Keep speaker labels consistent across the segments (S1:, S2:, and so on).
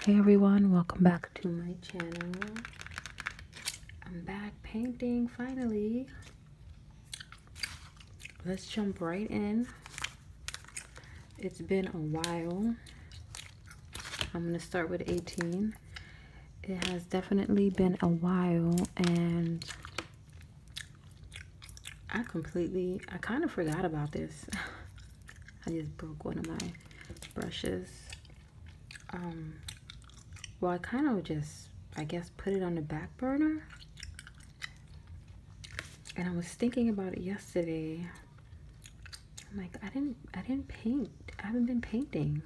S1: Hey everyone, welcome back to my channel. I'm back painting finally. Let's jump right in. It's been a while. I'm going to start with 18. It has definitely been a while and I completely, I kind of forgot about this. I just broke one of my brushes. Um, well, I kind of just, I guess, put it on the back burner. And I was thinking about it yesterday. I'm like, I didn't, I didn't paint. I haven't been painting.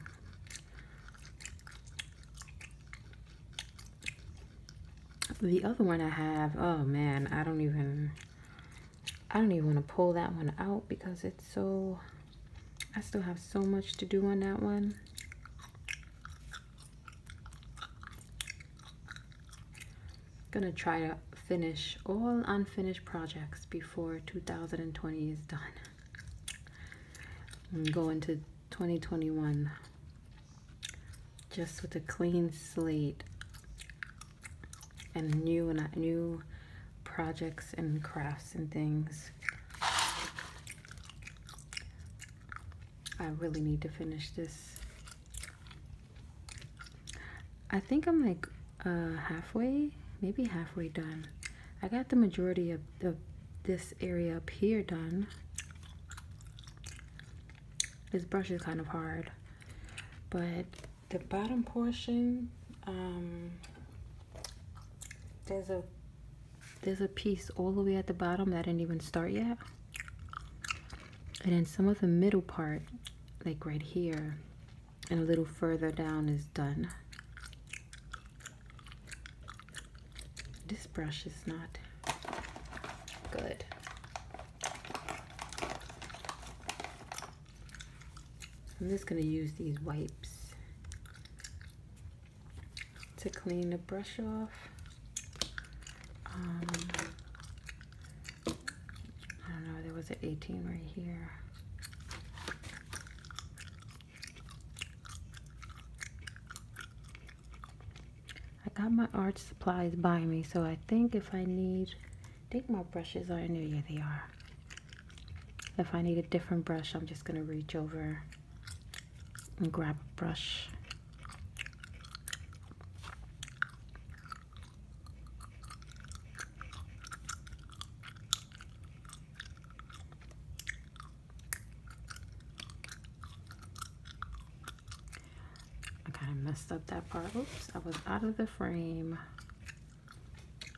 S1: The other one I have, oh man, I don't even, I don't even want to pull that one out because it's so, I still have so much to do on that one. Gonna try to finish all unfinished projects before 2020 is done. And go into 2021 just with a clean slate and new and uh, new projects and crafts and things. I really need to finish this. I think I'm like uh, halfway, maybe halfway done. I got the majority of, of this area up here done. This brush is kind of hard, but the bottom portion um, there's a there's a piece all the way at the bottom that I didn't even start yet and then some of the middle part like right here and a little further down is done this brush is not good I'm just going to use these wipes to clean the brush off. Um, I don't know, there was an 18 right here. I got my art supplies by me, so I think if I need think my brushes are in there. Yeah, they are. If I need a different brush, I'm just going to reach over and grab a brush. I kind of messed up that part. Oops, I was out of the frame.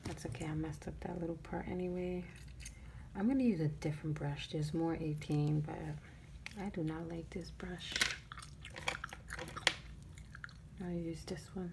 S1: That's okay, I messed up that little part anyway. I'm gonna use a different brush. There's more 18, but I do not like this brush. I'll use this one.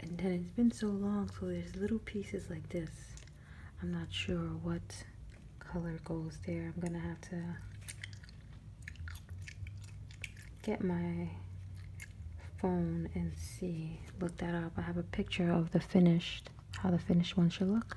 S1: and then it's been so long so there's little pieces like this i'm not sure what color goes there i'm gonna have to get my phone and see look that up i have a picture of the finished how the finished one should look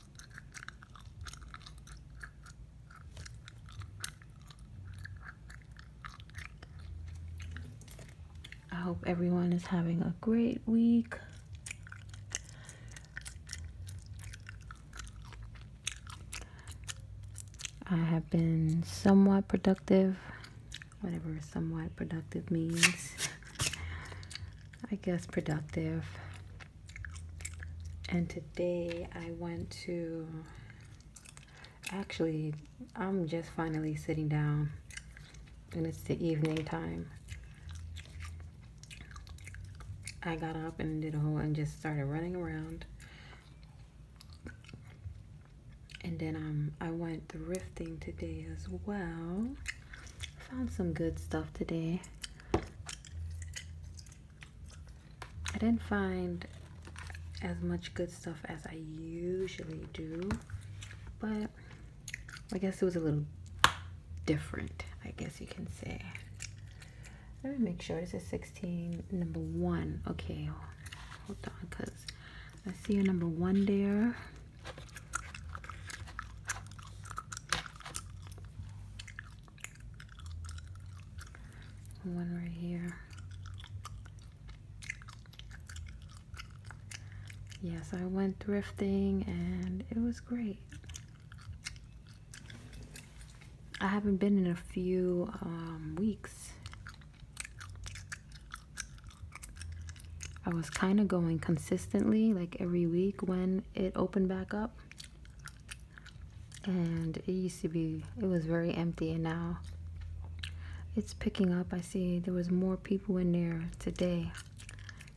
S1: I hope everyone is having a great week. I have been somewhat productive, whatever somewhat productive means. I guess productive. And today I went to actually, I'm just finally sitting down, and it's the evening time. I got up and did a whole and just started running around. And then um, I went thrifting today as well. Found some good stuff today. I didn't find as much good stuff as I usually do, but I guess it was a little different, I guess you can say. Let me make sure this is 16, number one. Okay, hold on, because I see a number one there. One right here. Yes, I went thrifting and it was great. I haven't been in a few um, weeks. I was kind of going consistently, like every week when it opened back up and it used to be it was very empty and now it's picking up i see there was more people in there today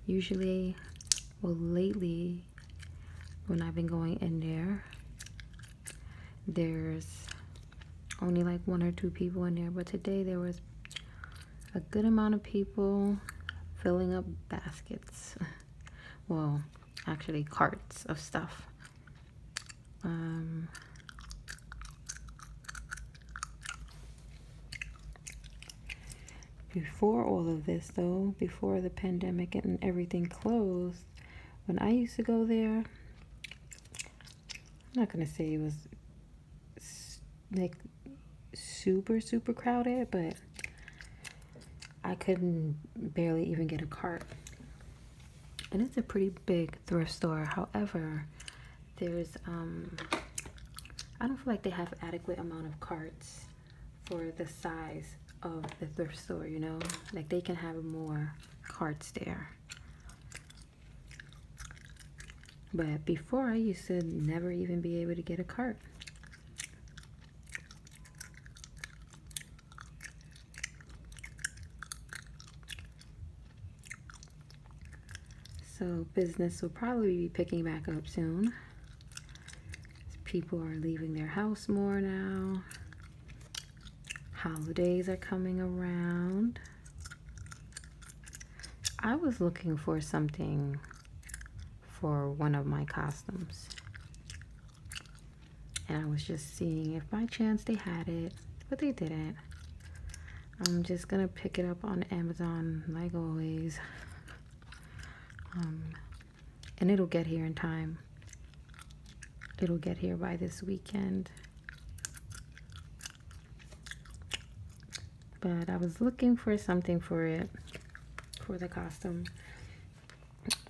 S1: usually well lately when i've been going in there there's only like one or two people in there but today there was a good amount of people filling up baskets well actually carts of stuff. Um, before all of this, though, before the pandemic and everything closed, when I used to go there, I'm not going to say it was like super, super crowded, but I couldn't barely even get a cart. And it's a pretty big thrift store. However, there's um I don't feel like they have adequate amount of carts for the size of the thrift store, you know? Like they can have more carts there. But before I used to never even be able to get a cart. So business will probably be picking back up soon. People are leaving their house more now. Holidays are coming around. I was looking for something for one of my costumes. And I was just seeing if by chance they had it, but they didn't. I'm just gonna pick it up on Amazon like always. Um, and it'll get here in time. It'll get here by this weekend. But I was looking for something for it, for the costume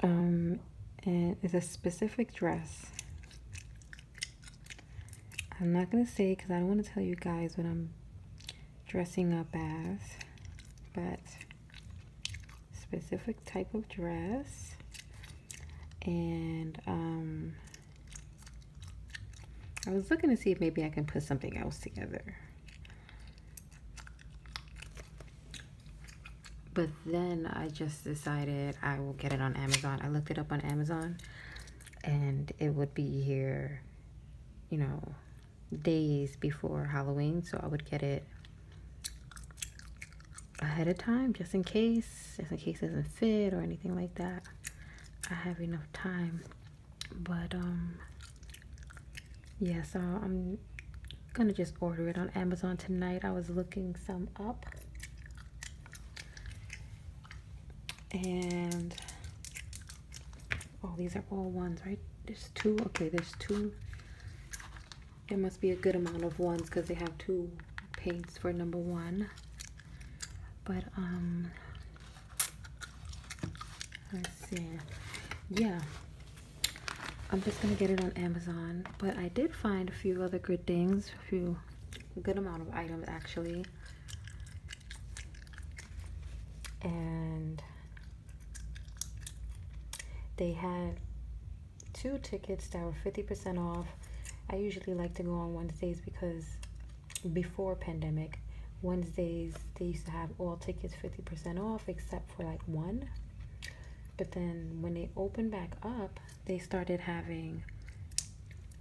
S1: um, and it's a specific dress. I'm not going to say because I don't want to tell you guys what I'm dressing up as, but specific type of dress and um, I was looking to see if maybe I can put something else together but then I just decided I will get it on Amazon. I looked it up on Amazon and it would be here, you know, days before Halloween. So I would get it ahead of time just in case, just in case it doesn't fit or anything like that. I have enough time. But, um, yeah so i'm gonna just order it on amazon tonight i was looking some up and oh these are all ones right there's two okay there's two there must be a good amount of ones because they have two paints for number one but um let's see yeah I'm just gonna get it on Amazon. But I did find a few other good things, a few good amount of items actually. And they had two tickets that were 50% off. I usually like to go on Wednesdays because before pandemic, Wednesdays they used to have all tickets 50% off except for like one. But then when they opened back up, they started having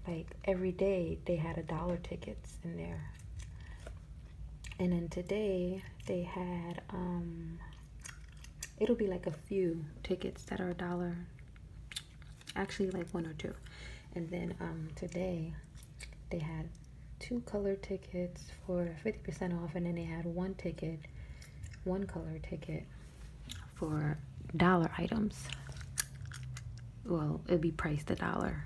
S1: like every day they had a dollar tickets in there. And then today they had um it'll be like a few tickets that are a dollar actually like one or two and then um today they had two color tickets for 50% off, and then they had one ticket, one color ticket for dollar items. Well, it'd be priced a dollar.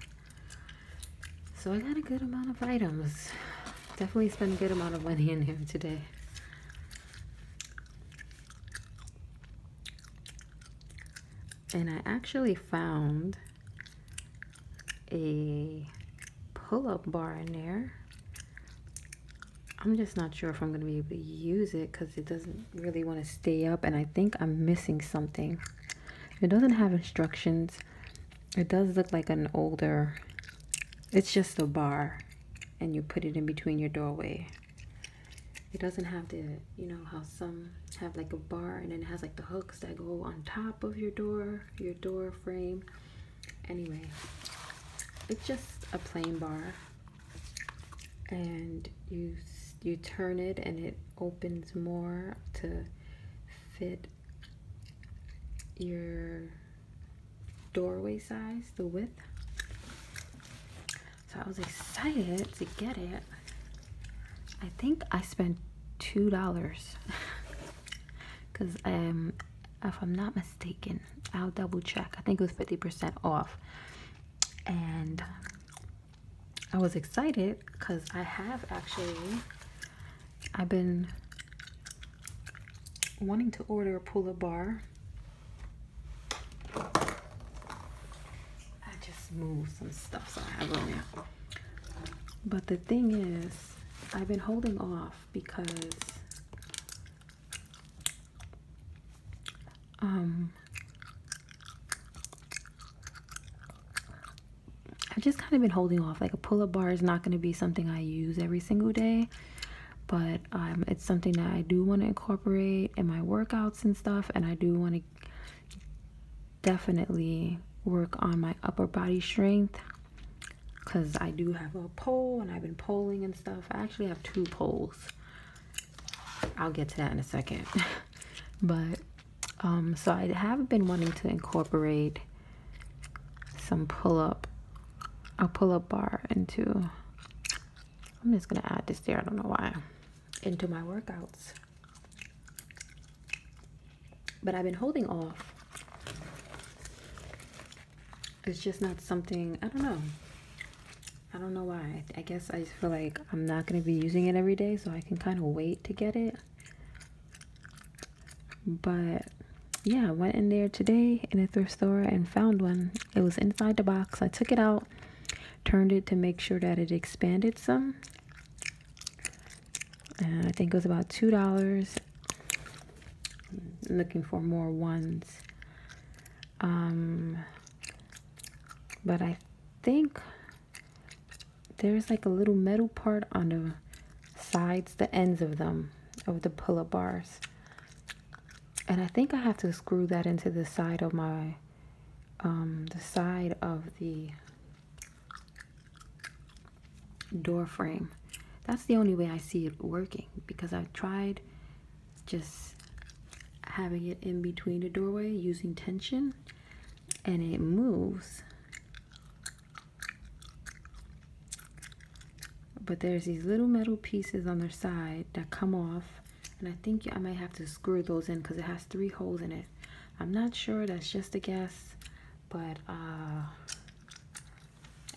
S1: So I got a good amount of items. Definitely spent a good amount of money in here today. And I actually found a pull-up bar in there. I'm just not sure if I'm going to be able to use it because it doesn't really want to stay up and I think I'm missing something. It doesn't have instructions. It does look like an older, it's just a bar and you put it in between your doorway. It doesn't have the, you know, how some have like a bar and then it has like the hooks that go on top of your door your door frame. Anyway, it's just a plain bar and you you turn it and it opens more to fit your doorway size, the width. So I was excited to get it. I think I spent $2. because um, if i'm not mistaken i'll double check i think it was 50% off and i was excited because i have actually i've been wanting to order a pull-up bar i just moved some stuff so i have on there but the thing is I've been holding off because um, I've just kind of been holding off. Like a pull-up bar is not going to be something I use every single day, but um, it's something that I do want to incorporate in my workouts and stuff, and I do want to definitely work on my upper body strength because I do have a pole, and I've been polling and stuff. I actually have two poles. I'll get to that in a second. but um, so I have been wanting to incorporate some pull up, a pull up bar into. I'm just gonna add this there. I don't know why. Into my workouts but I've been holding off. It's just not something, I don't know. I don't know why. I guess I just feel like I'm not going to be using it every day, so I can kind of wait to get it. But yeah, I went in there today in a thrift store and found one. It was inside the box. I took it out, turned it to make sure that it expanded some and I think it was about two dollars. Looking for more ones, um, but I think there's like a little metal part on the sides, the ends of them, of the pull-up bars. And I think I have to screw that into the side of my, um, the side of the door frame. That's the only way I see it working because I've tried just having it in between the doorway using tension and it moves. But there's these little metal pieces on the side that come off and I think I might have to screw those in because it has three holes in it. I'm not sure, that's just a guess but uh,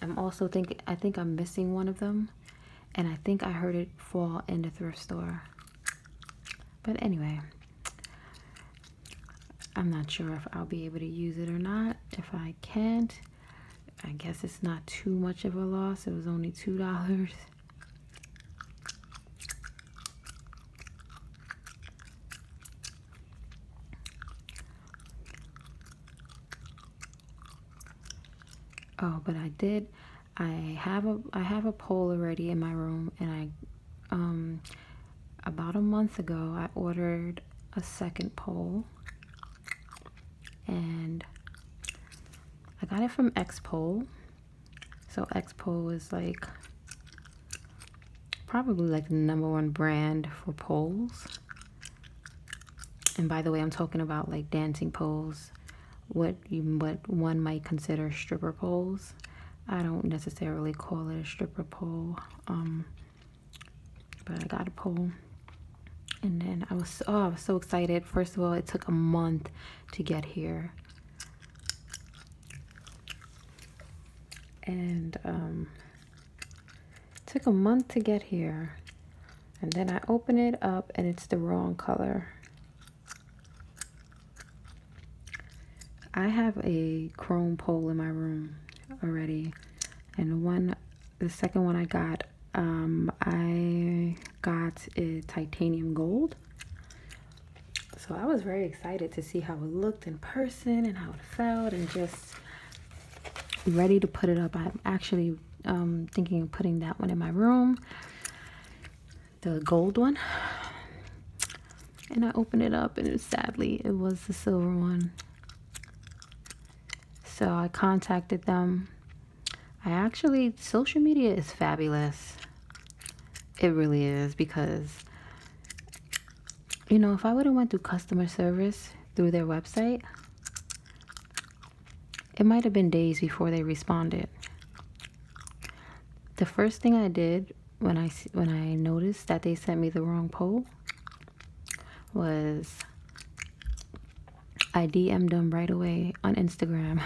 S1: I'm also thinking, I think I'm missing one of them, and I think I heard it fall in the thrift store. But anyway, I'm not sure if I'll be able to use it or not. If I can't, I guess it's not too much of a loss. It was only $2. Oh, but I did. I have a I have a pole already in my room, and I um about a month ago I ordered a second pole, and I got it from X Pole. So X Pole is like probably like the number one brand for poles. And by the way, I'm talking about like dancing poles, what you what one might consider stripper poles. I don't necessarily call it a stripper pole, um, but I got a pole. And then I was oh I was so excited. First of all, it took a month to get here and um, took a month to get here and then I open it up and it's the wrong color I have a chrome pole in my room already and the one the second one I got um, I got a titanium gold so I was very excited to see how it looked in person and how it felt and just ready to put it up. I'm actually um, thinking of putting that one in my room, the gold one. And I opened it up and it, sadly it was the silver one. So I contacted them. I actually, social media is fabulous. It really is because you know if i would have went to customer service through their website it might have been days before they responded the first thing i did when i when i noticed that they sent me the wrong poll was i dm'd them right away on instagram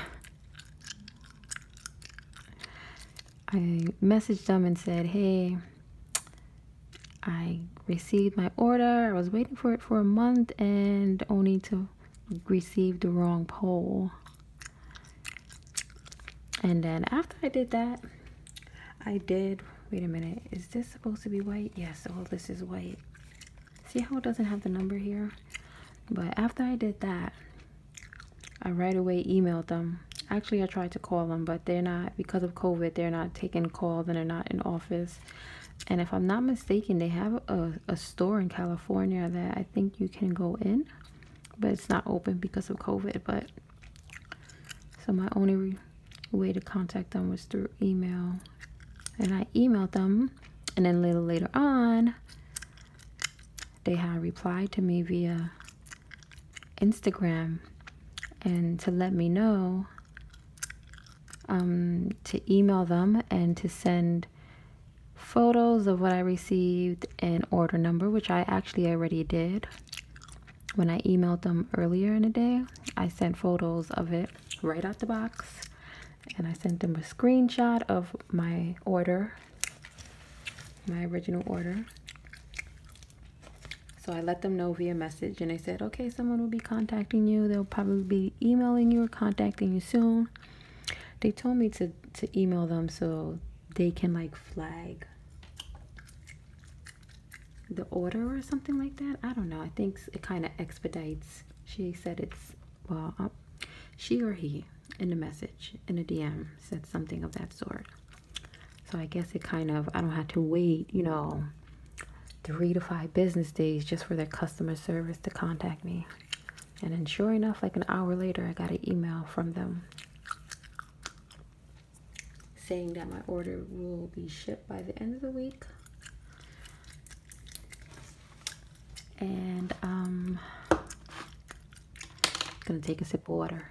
S1: I messaged them and said, Hey, I received my order. I was waiting for it for a month and only to receive the wrong poll. And then after I did that, I did. Wait a minute. Is this supposed to be white? Yes. All oh, this is white. See how it doesn't have the number here? But after I did that, I right away emailed them. Actually, I tried to call them, but they're not, because of COVID, they're not taking calls and they're not in office. And if I'm not mistaken, they have a, store in California that I think you can go in, but it's not open because of COVID. But so my only way to contact them was through email. And I emailed them, and then little later on, they had replied to me via Instagram and to let me know um, to email them and to send photos of what I received and order number, which I actually already did. When I emailed them earlier in the day, I sent photos of it right out the box and I sent them a screenshot of my order, my original order. So I let them know via message and I said, okay, someone will be contacting you. They'll probably be emailing you or contacting you soon. They told me to, to email them so they can like flag the order or something like that. I don't know. I think it kind of expedites. She said it's, well, uh, she or he in the message, in a DM, said something of that sort. So I guess it kind of I don't have to wait, you know, three to five business days just for their customer service to contact me. And then sure enough, like an hour later, I got an email from them saying that my order will be shipped by the end of the week. And um, I'm gonna take a sip of water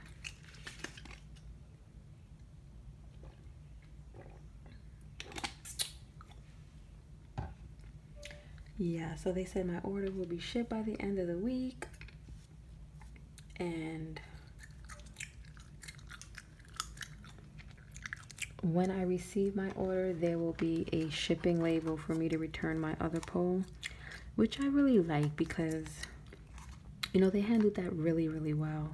S1: yeah so they said my order will be shipped by the end of the week and when I receive my order there will be a shipping label for me to return my other pole which I really like because you know, they handled that really, really well.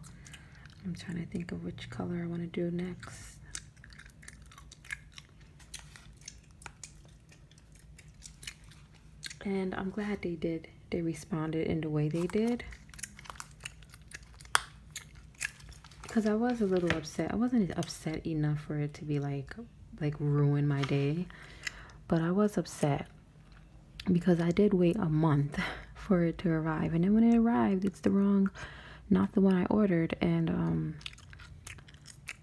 S1: I'm trying to think of which color I want to do next. And I'm glad they did. They responded in the way they did. Because I was a little upset. I wasn't upset enough for it to be like, like ruin my day. But I was upset because I did wait a month for it to arrive, and then when it arrived, it's the wrong, not the one I ordered, and um,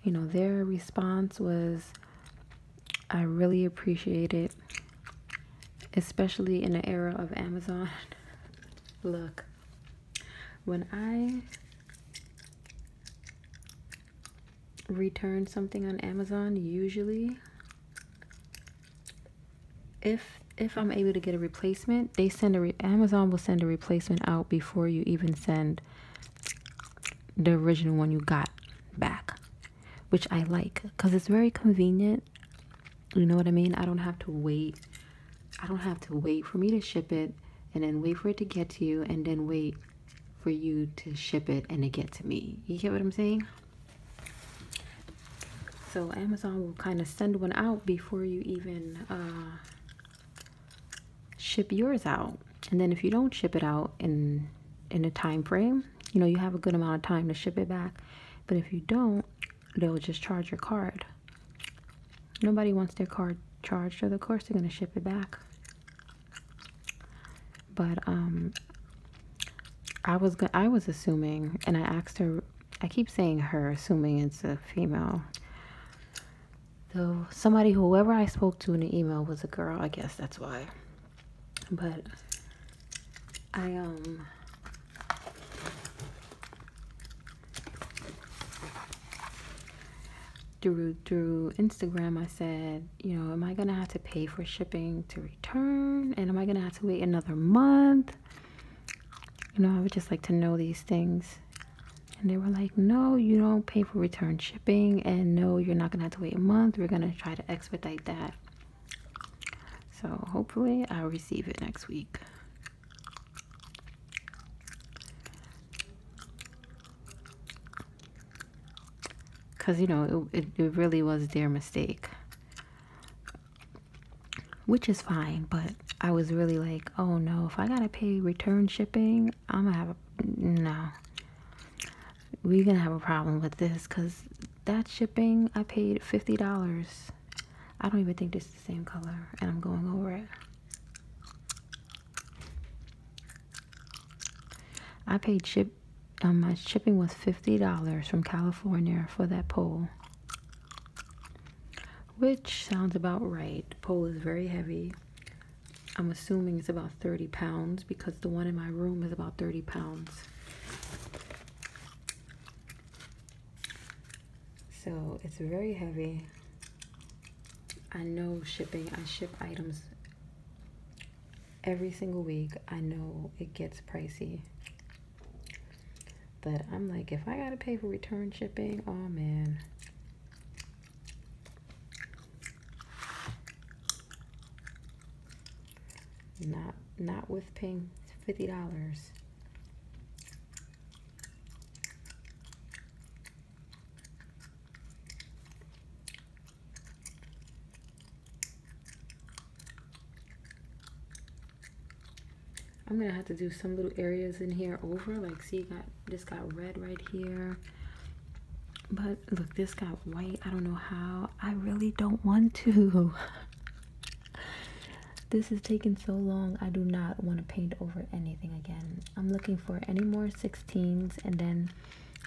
S1: you know their response was, I really appreciate it, especially in the era of Amazon. Look, when I return something on Amazon usually if if I'm able to get a replacement, they send a Amazon will send a replacement out before you even send the original one you got back, which I like because it's very convenient. You know what I mean? I don't have to wait. I don't have to wait for me to ship it and then wait for it to get to you and then wait for you to ship it and to get to me. You get what I'm saying? So Amazon will kind of send one out before you even uh, ship yours out. And then if you don't ship it out in in a time frame, you know you have a good amount of time to ship it back. But if you don't, they'll just charge your card. Nobody wants their card charged, so of course they're gonna ship it back. But um I was I was assuming and I asked her I keep saying her assuming it's a female. Though somebody whoever I spoke to in the email was a girl, I guess that's why. But I um through through Instagram I said you know, am I gonna have to pay for shipping to return? And am I gonna have to wait another month? You know, I would just like to know these things. And they were like, no, you don't pay for return shipping, and no, you're not gonna have to wait a month. We're gonna try to expedite that. So hopefully, I'll receive it next week because you know it, it, really was their mistake which is fine but i was really like oh no if i gotta pay return shipping i'm gonna have no we're gonna have a problem with this because that shipping i paid $50 i don't even think this is the same color and i'm going over it i paid ship um, my shipping was $50 from California for that pole. Which sounds about right. pole is very heavy. I'm assuming it's about 30 pounds because the one in my room is about 30 pounds. So it's very heavy. I know shipping, I ship items every single week. I know it gets pricey. But I'm like, if I gotta pay for return shipping, oh man. Not not with paying fifty dollars. I'm gonna have to do some little areas in here over like see got this got red right here but look this got white I don't know how I really don't want to this is taking so long I do not want to paint over anything again I'm looking for any more 16s and then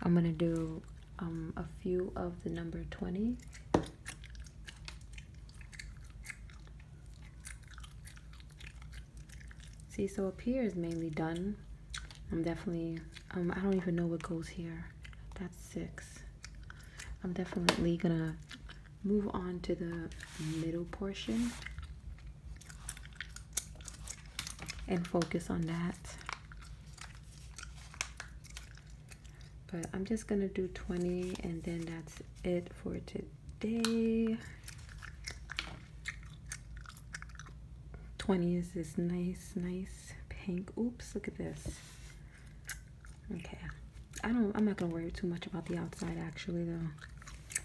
S1: I'm gonna do um, a few of the number 20. See, so up here is mainly done. I'm definitely, um, I don't even know what goes here. That's six. I'm definitely gonna move on to the middle portion and focus on that. But I'm just going to do 20 and then that's it for today. 20 is this nice, nice pink. Oops, look at this. Okay. I don't, I'm not going to worry too much about the outside actually though.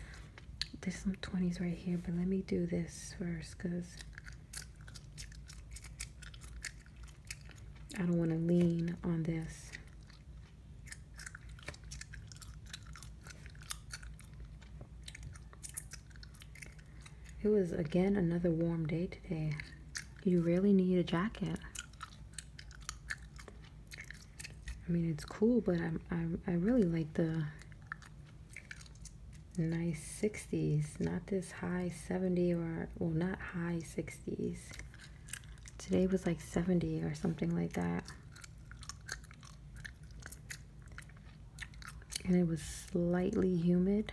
S1: There's some 20s right here, but let me do this first because I don't want to lean on this. It was again another warm day today. You really need a jacket. I mean, it's cool, but I'm, i really like the nice 60s not this high 70 or well not high 60s today was like 70 or something like that and it was slightly humid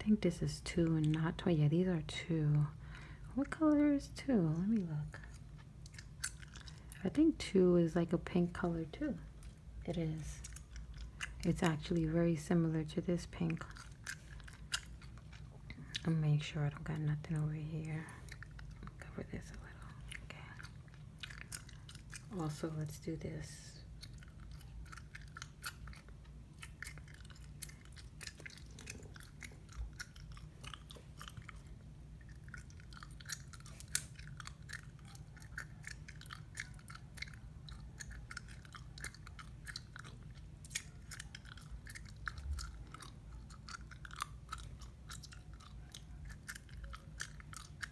S1: I think this is two and not two. Yeah, these are two. What color is two? Let me look. I think two is like a pink color too. It is. It's actually very similar to this pink. I'll make sure I don't got nothing over here. Cover this a little. Okay. Also, let's do this.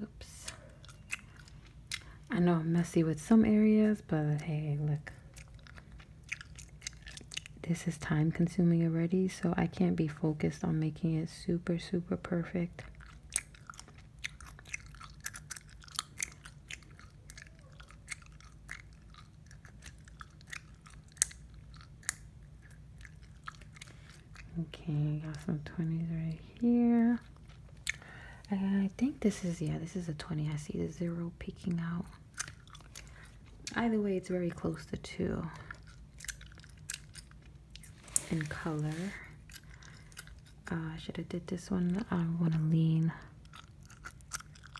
S1: Oops. I know I'm messy with some areas, but hey, look. This is time consuming already, so I can't be focused on making it super, super perfect. Okay, got some 20s right here. I think this is, yeah, this is a 20. I see the zero peeking out. Either way, it's very close to two in color. Uh, I should have did this one. I want to lean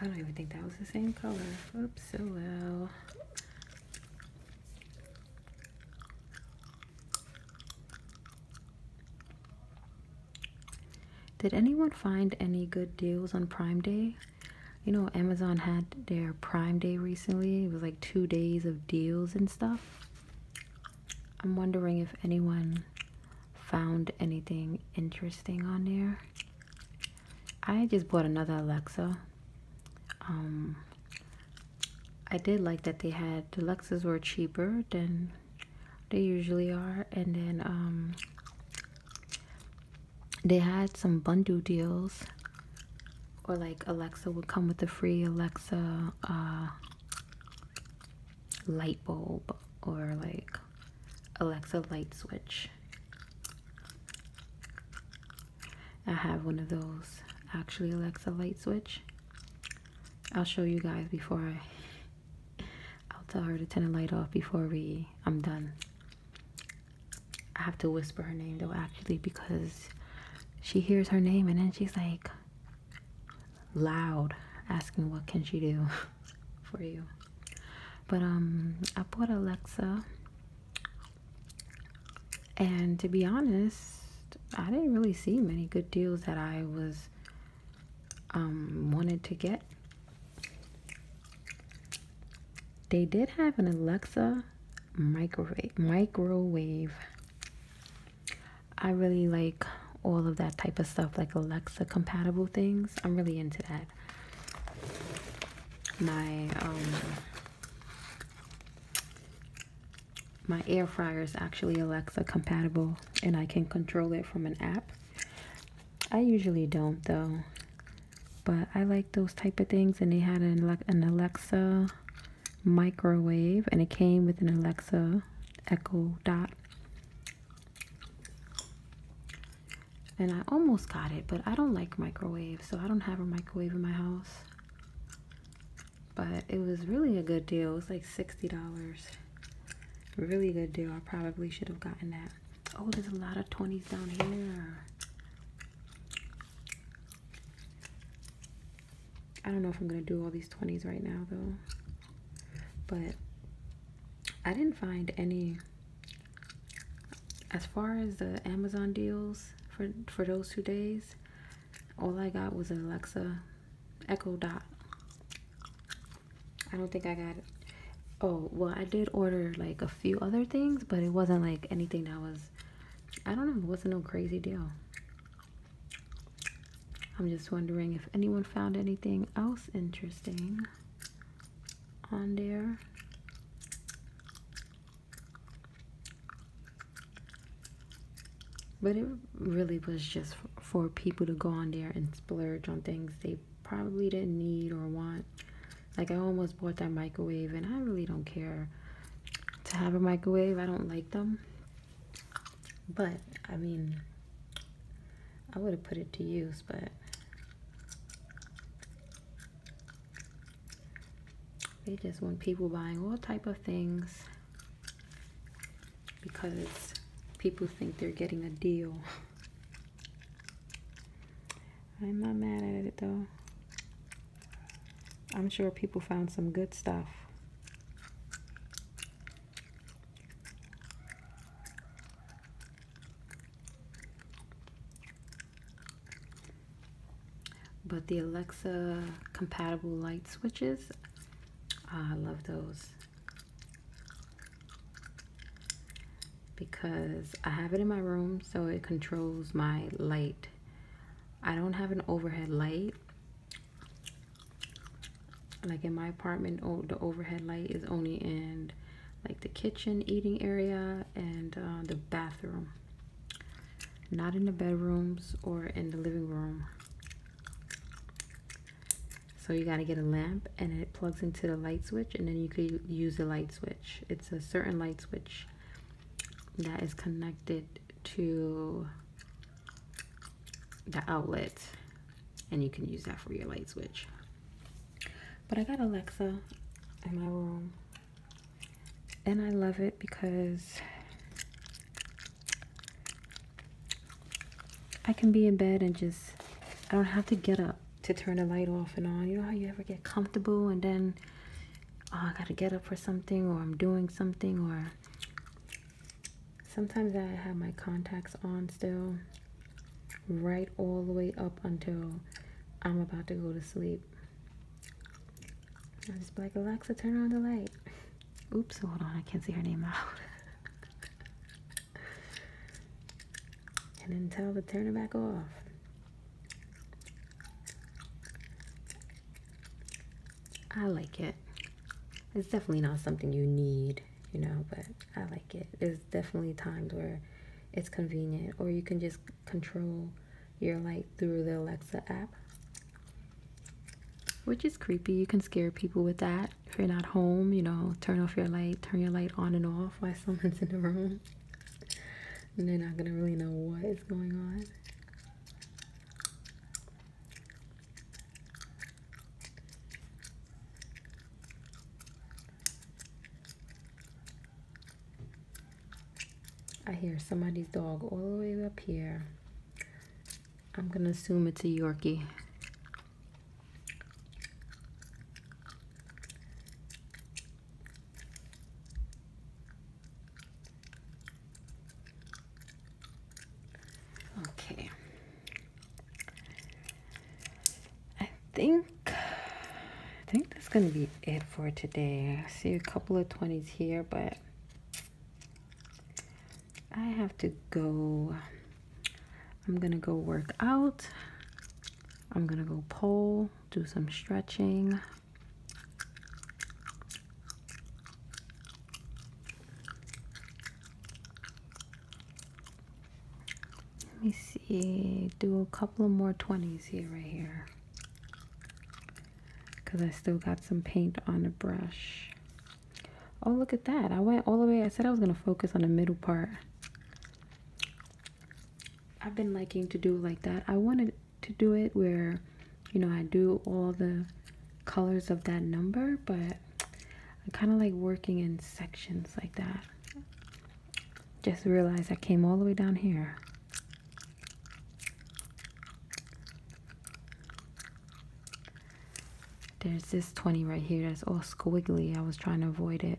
S1: I don't even think that was the same color. Oops, so well. Did anyone find any good deals on Prime Day? You know, Amazon had their Prime Day recently. It was like two days of deals and stuff. I'm wondering if anyone found anything interesting on there. I just bought another Alexa. Um, I did like that they had the Luxes were cheaper than they usually are, and then um, they had some bundle deals, or like Alexa would come with a free Alexa uh, light bulb or like Alexa light switch. I have one of those actually Alexa light switch. I'll show you guys before I I'll tell her to turn the light off before we I'm done. I have to whisper her name though actually because she hears her name and then she's like loud asking what can she do for you. But um I bought Alexa and to be honest, I didn't really see many good deals that I was um, wanted to get. They did have an Alexa microwave. Microwave. I really like all of that type of stuff, like Alexa compatible things. I'm really into that. My um, my air fryer is actually Alexa compatible, and I can control it from an app. I usually don't though, but I like those type of things. And they had an, an Alexa microwave, and it came with an Alexa Echo Dot. And I almost got it, but I don't like microwaves, so I don't have a microwave in my house. But it was really a good deal. It was like $60. Really good deal. I probably should have gotten that. Oh, there's a lot of 20s down here. I don't know if I'm going to do all these 20s right now, though. But I didn't find any. As far as the Amazon deals for, for those two days, all I got was an Alexa Echo Dot. I don't think I got Oh, well, I did order like a few other things, but it wasn't like anything that was, I don't know, it wasn't no crazy deal. I'm just wondering if anyone found anything else interesting on there. But it really was just for people to go on there and splurge on things they probably didn't need or want. Like I almost bought that microwave and I really don't care to have a microwave. I don't like them. But I mean I would have put it to use, but they just want people buying all type of things because people think they're getting a deal. I'm not mad at it though. I'm sure people found some good stuff. But the Alexa compatible light switches, I love those because I have it in my room so it controls my light. I don't have an overhead light. Like in my apartment, oh, the overhead light is only in like the kitchen eating area and uh, the bathroom. Not in the bedrooms or in the living room. So you got to get a lamp and it plugs into the light switch and then you could use the light switch. It's a certain light switch that is connected to the outlet and you can use that for your light switch. But I got Alexa in my room and I love it because I can be in bed and just, I don't have to get up to turn the light off and on. You know how you ever get comfortable and then, oh, I gotta get up for something or I'm doing something or sometimes I have my contacts on still right all the way up until I'm about to go to sleep. I'm just like, Alexa, turn on the light. Oops, hold on, I can't see her name out. and then tell to turn it back off. I like it. It's definitely not something you need, you know, but I like it. There's definitely times where it's convenient, or you can just control your light through the Alexa app, which is creepy. You can scare people with that if you're not home, you know, turn off your light, turn your light on and off while someone's in the room. And they're not gonna really know what is going on. I hear somebody's dog all the way up here. I'm gonna assume it's a Yorkie. Okay. I think I think that's gonna be it for today. I see a couple of 20s here, but I have to go I'm gonna go work out. I'm gonna go pull, do some stretching. Let me see, do a couple of more 20s here, right here. Because I still got some paint on the brush. Oh, look at that. I went all the way. I said I was going to focus on the middle part. I've been liking to do like that. I wanted to do it where, you know, I do all the colors of that number, but I kind of like working in sections like that. Just realized I came all the way down here. There's this 20 right here that's all squiggly. I was trying to avoid it.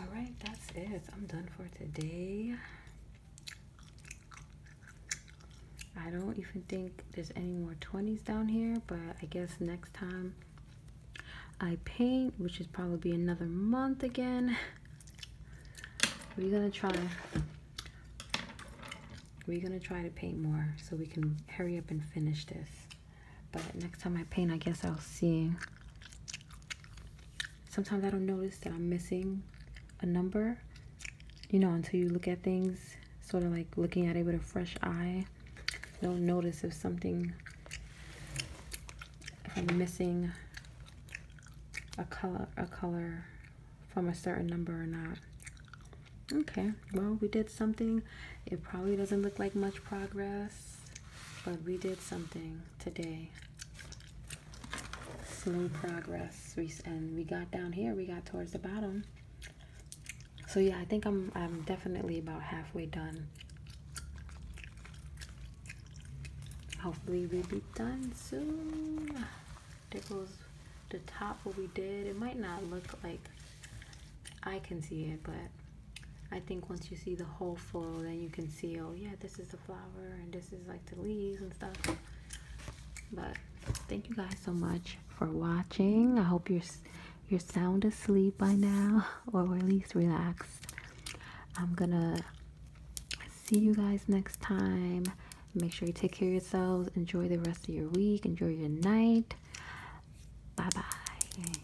S1: all right that's it i'm done for today i don't even think there's any more 20s down here but i guess next time i paint which is probably another month again we're gonna try we're gonna try to paint more so we can hurry up and finish this but next time i paint i guess i'll see sometimes I don't notice that I'm missing a number, you know, until you look at things sort of like looking at it with a fresh eye. You'll notice if something, if I'm missing a color, a color from a certain number or not. Okay, well, we did something. It probably doesn't look like much progress, but we did something today slow progress and we got down here we got towards the bottom so yeah i think i'm i'm definitely about halfway done hopefully we'll be done soon there goes the top what we did it might not look like i can see it but I think once you see the whole flow, then you can see, oh yeah, this is the flower and this is like the leaves and stuff. But thank you guys so much for watching. I hope you're you're sound asleep by now, or at least relaxed. I'm gonna see you guys next time. Make sure you take care of yourselves. Enjoy the rest of your week. Enjoy your night. Bye bye.